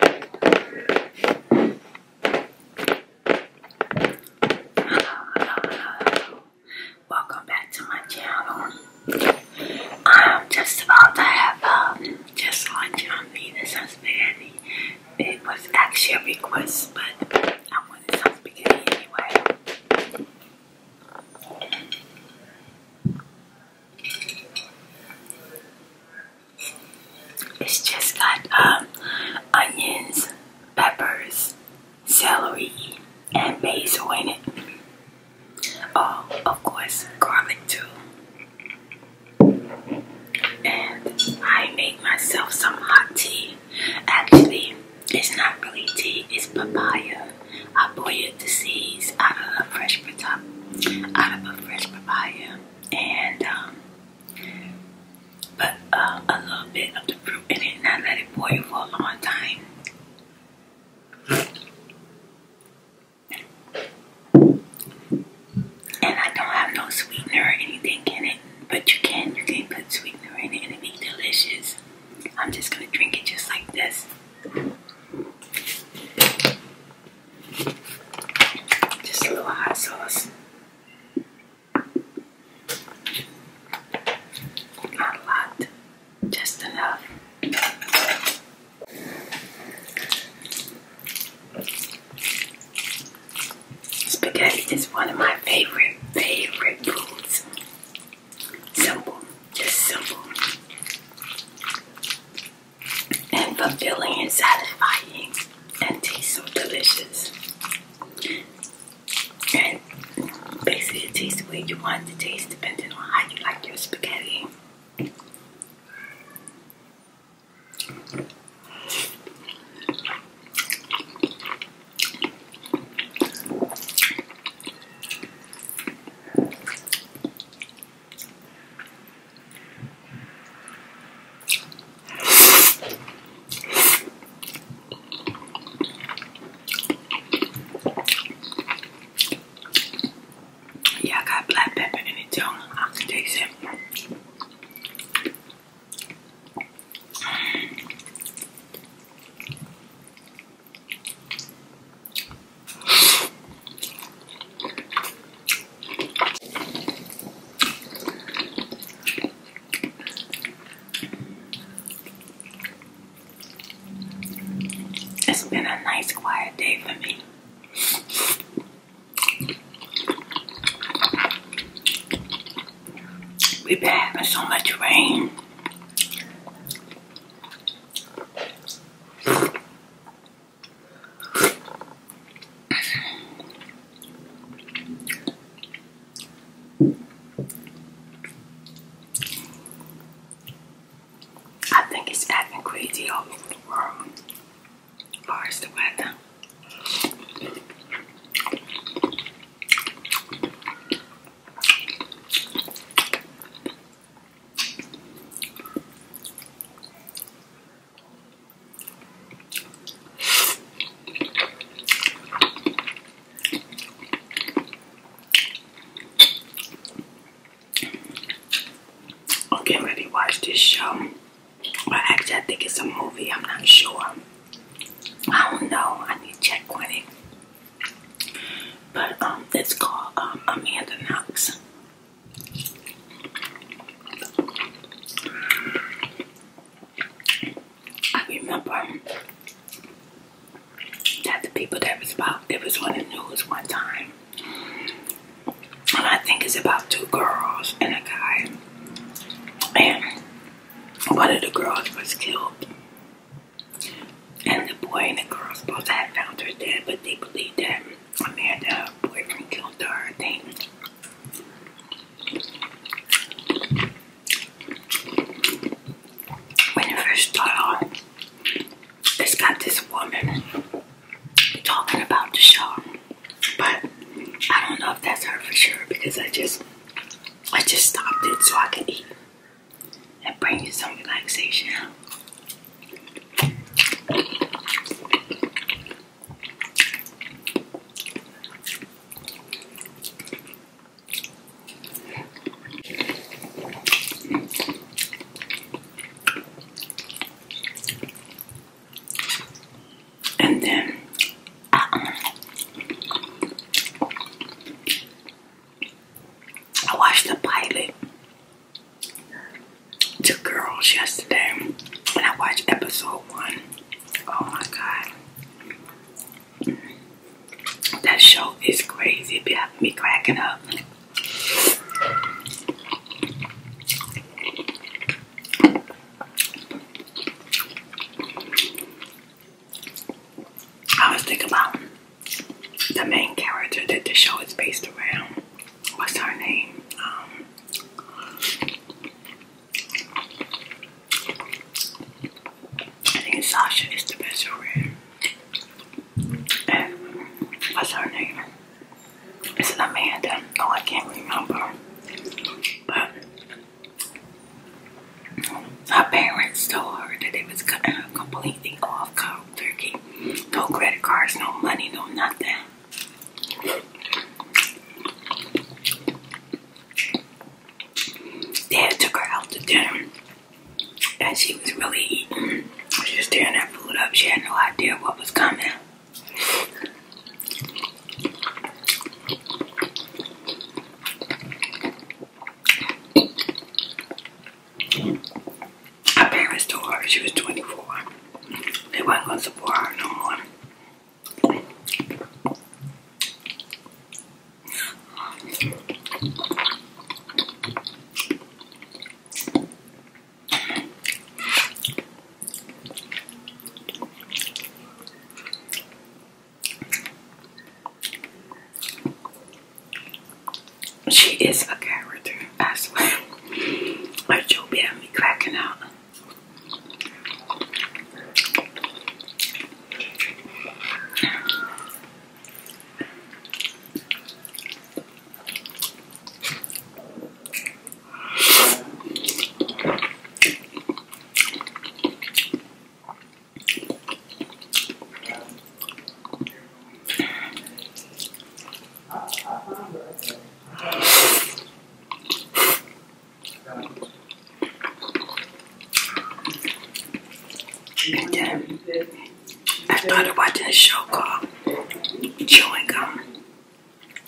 hello, Welcome back to my channel. I'm just about to have um, just lunch on Venus and is spaghetti. It was actually a request, but I wanted some spaghetti anyway. It's just got um, onions, peppers, celery, and basil in it. Oh, of course, garlic too. And I made myself some hot tea. Actually, it's not really tea, it's papaya. I boiled the seeds out of a fresh, papaya. out of a fresh papaya and um, but uh, a little bit of the fruit in it, I let it boil for a long time. And I don't have no sweetener or anything in it, but you can you can put sweetener in it and it will be delicious. I'm just gonna drink it just like this. Just a little hot sauce. Not a lot, just enough. Spaghetti is one of my favorite, favorite foods. Simple, just simple and fulfilling and satisfying and tastes so delicious. And basically it tastes the way you want it to taste depending on how you like your spaghetti. Yeah, I got black pepper in the tongue. I can taste it. It's been a nice quiet day for me. We've been having so much rain. I think it's acting crazy all over the world as the weather. I'm ready to watch this show. Well, actually, I think it's a movie. I'm not sure. I don't know. I need to check on it. But um, it's called um, Amanda Knox. I remember that the people that was about, it was on the news one time. And I think it's about two girls and a guy. And one of the girls was killed. And the boy and the girls both had found her dead, but they believed that Amanda boyfriend killed her, I think. When it first started on, it's got this woman talking about the show. But I don't know if that's her for sure because I just I just stopped it so I could eat and bring you some relaxation. And then uh-uh. I watched the pilot to girls yesterday and I watched episode one. Oh my god. That show is crazy. It be having me cracking up. I was thinking about the main character that the show is based around. What's her name? Um, I think Sasha is the best friend. And what's her name? Is it Amanda? Oh, I can't remember. But her parents told her that it was cutting uh, her completely off guard turkey. No credit cards, no money, no nothing. Dad took her out to dinner and she was really eating. She was tearing that food up. She had no idea what was coming. Her parents told her she was 24. They weren't going to support her no more. She is a character, I swear. Like you'll me cracking out. And then I started watching a show called Chewing Gum.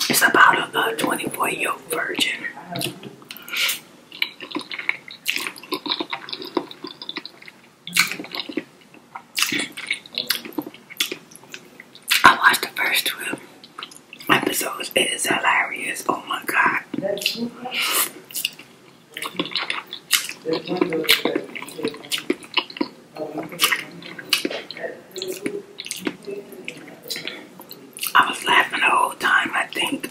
It's about a 24 year old virgin. I watched the first twelve episodes. It is hilarious. Oh my god. I was laughing the whole time, I think.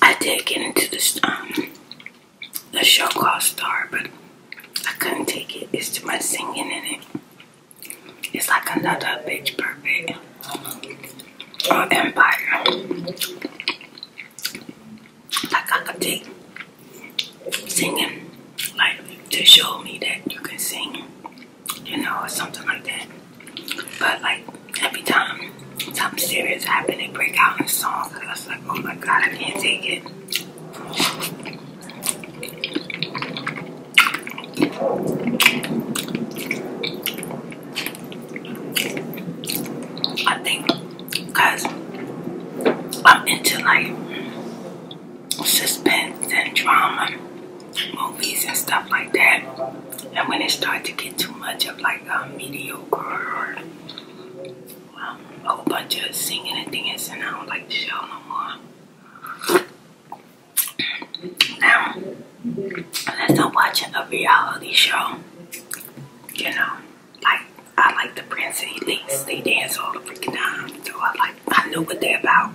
I did get into the um the show called Star, but I couldn't take it. It's too much singing in it. It's like another bitch, Perfect or Empire. Like I not take singing, like to show me that you can sing, you know, or something like that. But like every time something serious happened, they break out in song. Cause I was like, oh my god, I can't take it. I think because I'm into like suspense and drama movies and stuff like that. And when it starts to get too much of like a mediocre or um, a whole bunch of singing and dancing. I don't like the show no more. Now, unless I'm watching a reality show, you know, like I like the Prince and Elise. They dance all the freaking time, so I like I know what they're about.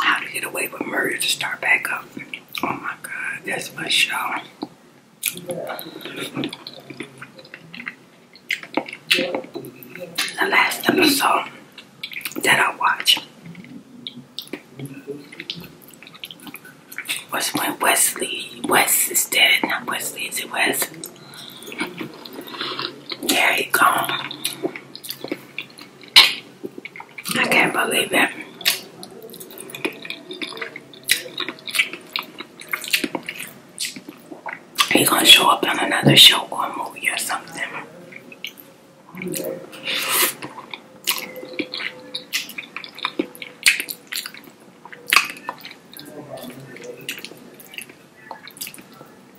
How to Get Away with Murder to Start Back Up. Oh my god, that's my show. The last episode that I watched was when Wesley, Wes is dead, not Wesley, is it Wes? Yeah, he gone. I can't believe it. He's gonna show up on another show or movie or something.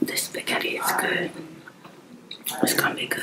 This spaghetti is good. It's gonna be good.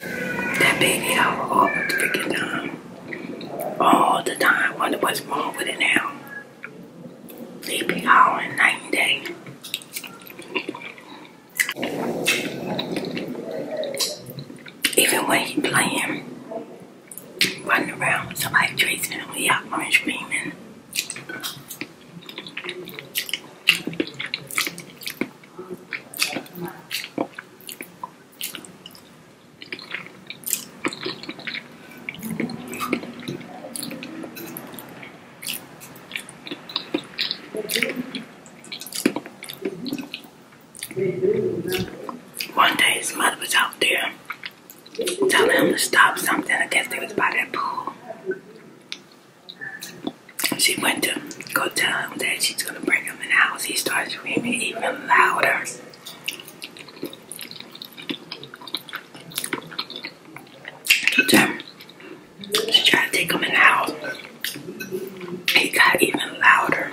That baby I out all the freaking time. All the time. Wonder what's wrong with it now. They be howling night and day. Even when he playing, running around, somebody chasing him, he out running screaming. One day his mother was out there telling him to stop something. I guess they was by that pool. She went to go tell him that she's gonna bring him in the house. He starts screaming even louder. She tried to take him in the house. He got even louder.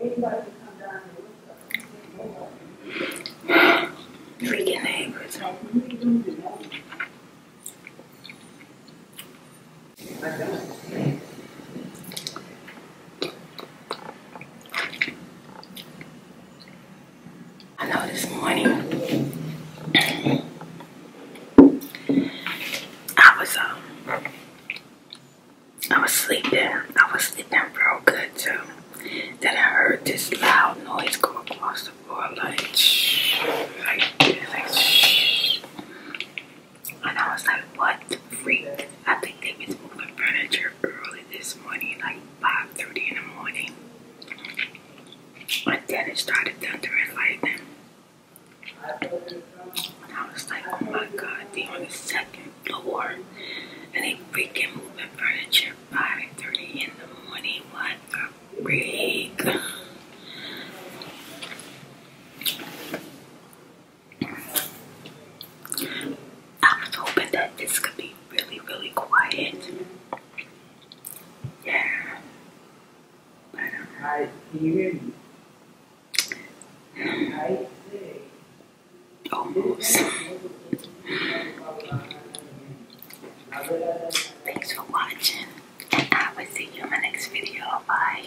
Anybody come down here with us. Freaking neighbors. I know this morning I was um I was sleeping. I was sleeping real good too. Then I heard this loud noise go across the floor like shh, like shh. And I was like, what freak? I think they was moving furniture early this morning, like 5.30 in the morning. And then it started thundering lightning. And I was like, oh my god, they on the second award and a freaking moving furniture 5.30 in the morning. What a freak. I was hoping that this could be really, really quiet. Yeah. But, um, Hi, you Thanks for watching, and I will see you in my next video. Bye.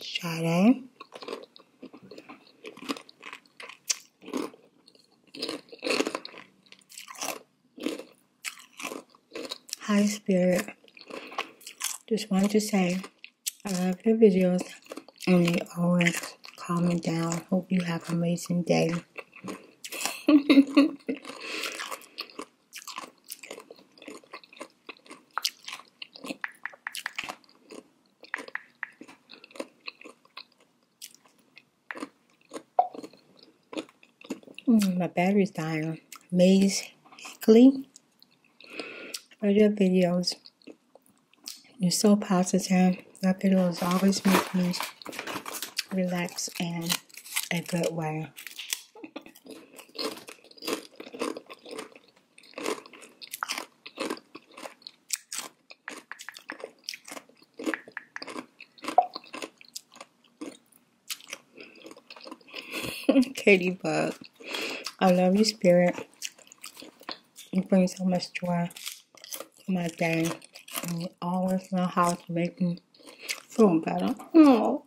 shadow high spirit just wanted to say i love your videos and they always calm me down hope you have an amazing day Mm, my battery's dying amazingly. But your videos, you're so positive. Your videos always make me relax and a good way. Katie Bug, I love you, spirit. You bring so much joy to my day, and you always know how to make me Feeling better. Oh,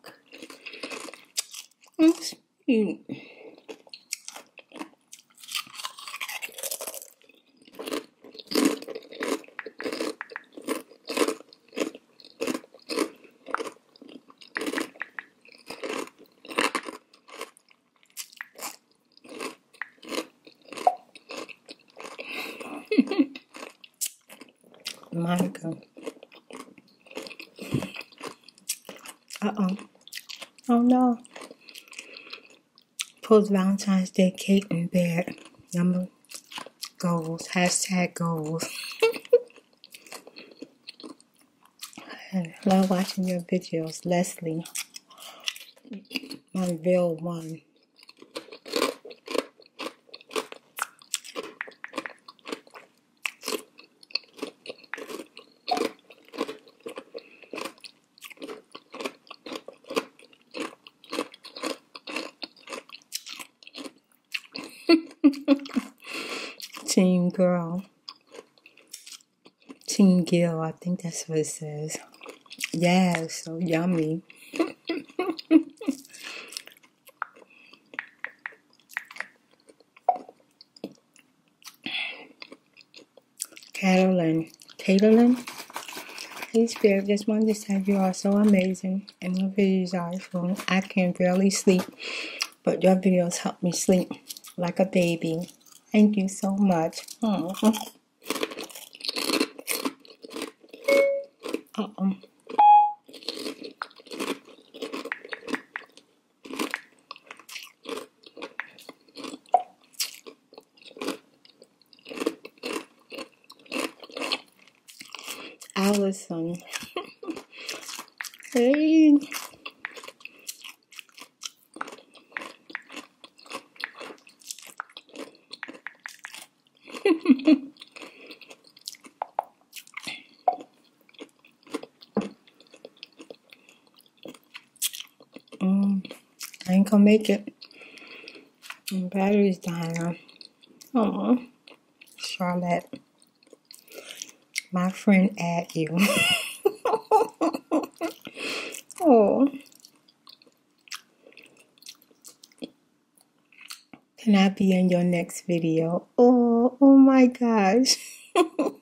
it's eating. Michael. Uh-oh. Oh no. Post Valentine's Day cake in bed. Number goals. Hashtag goals. love watching your videos, Leslie. My real one. Team girl. Team girl. I think that's what it says. Yeah, so yummy. Carolyn. Carolyn? Please bear this one to say you are so amazing and your videos are excellent. I can barely sleep, but your videos help me sleep like a baby. Thank you so much. Uh oh. Allison. hey. mm, I ain't gonna make it. My battery's dying Oh, Charlotte, my friend, at you. oh. Can I be in your next video? Oh, oh my gosh.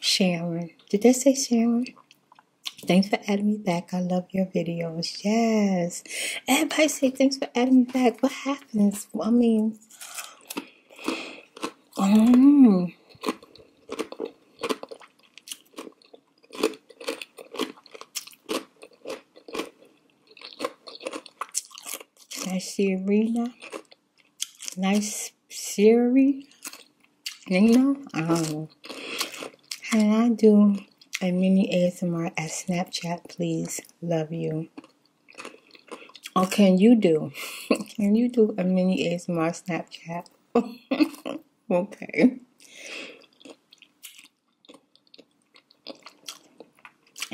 Sharon. Did they say Sharon? Thanks for adding me back. I love your videos. Yes. Everybody say thanks for adding me back. What happens? Well, I mean, mm. nice Serena. Nice Siri. You oh. know, how I do and Mini ASMR at Snapchat, please. Love you. Oh, can you do? can you do a Mini ASMR Snapchat? okay.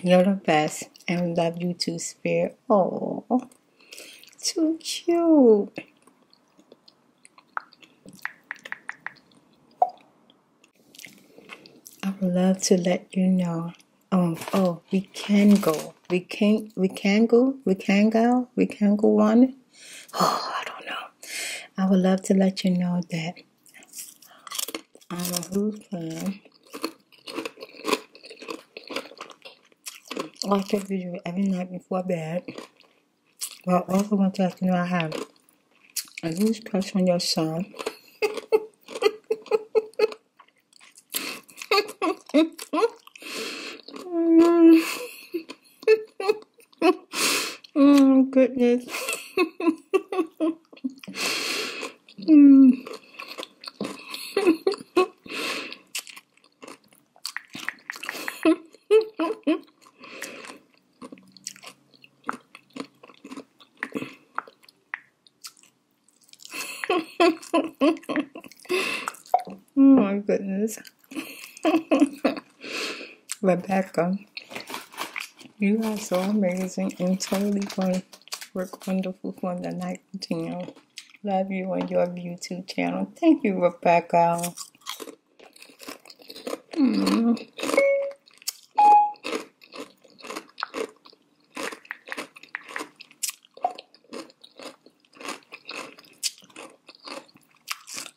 You're the best and love you too, Spirit. Oh, too cute. I would love to let you know. Um, oh, we can go. We can. We can go. We can go. We can go on. Oh, I don't know. I would love to let you know that I'm a Who fan. Like a video every night before bed. Well, I also want to let you know I have a huge crush on your son. oh goodness. oh my goodness. Rebecca, you are so amazing and totally fun. to work wonderful for the night continue. Love you on your YouTube channel. Thank you, Rebecca.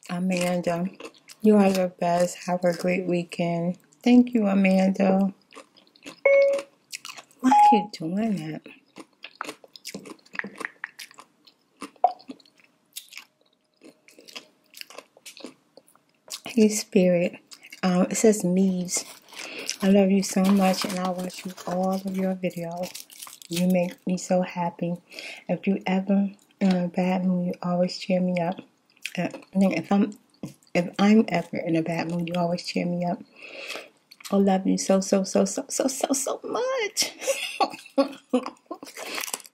Amanda, you are the best. Have a great weekend. Thank you, Amanda. Why are you doing that? Hey Spirit, um, it says Mees. I love you so much, and I watch you all of your videos. You make me so happy. If you ever in um, a bad mood, you always cheer me up. Uh, if I'm if I'm ever in a bad mood, you always cheer me up. I love you so so so so so so so much.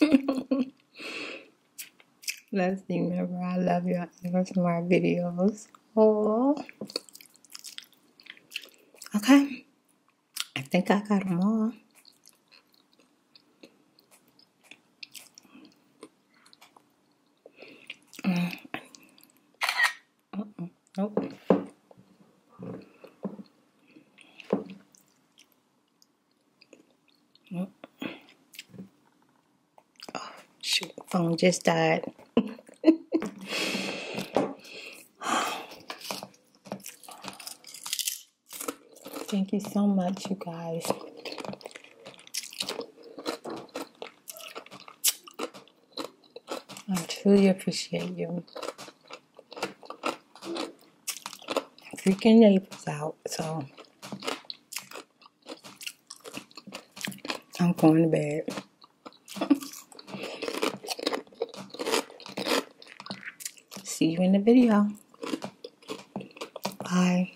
Let's remember I love you. I love my videos. Oh. Okay. I think I got them all. Mm. Mm -mm. Nope. Nope. Oh, shoot, phone just died. Thank you so much, you guys. I truly appreciate you. Freaking Naples out, so I'm going to bed. See you in the video. Bye.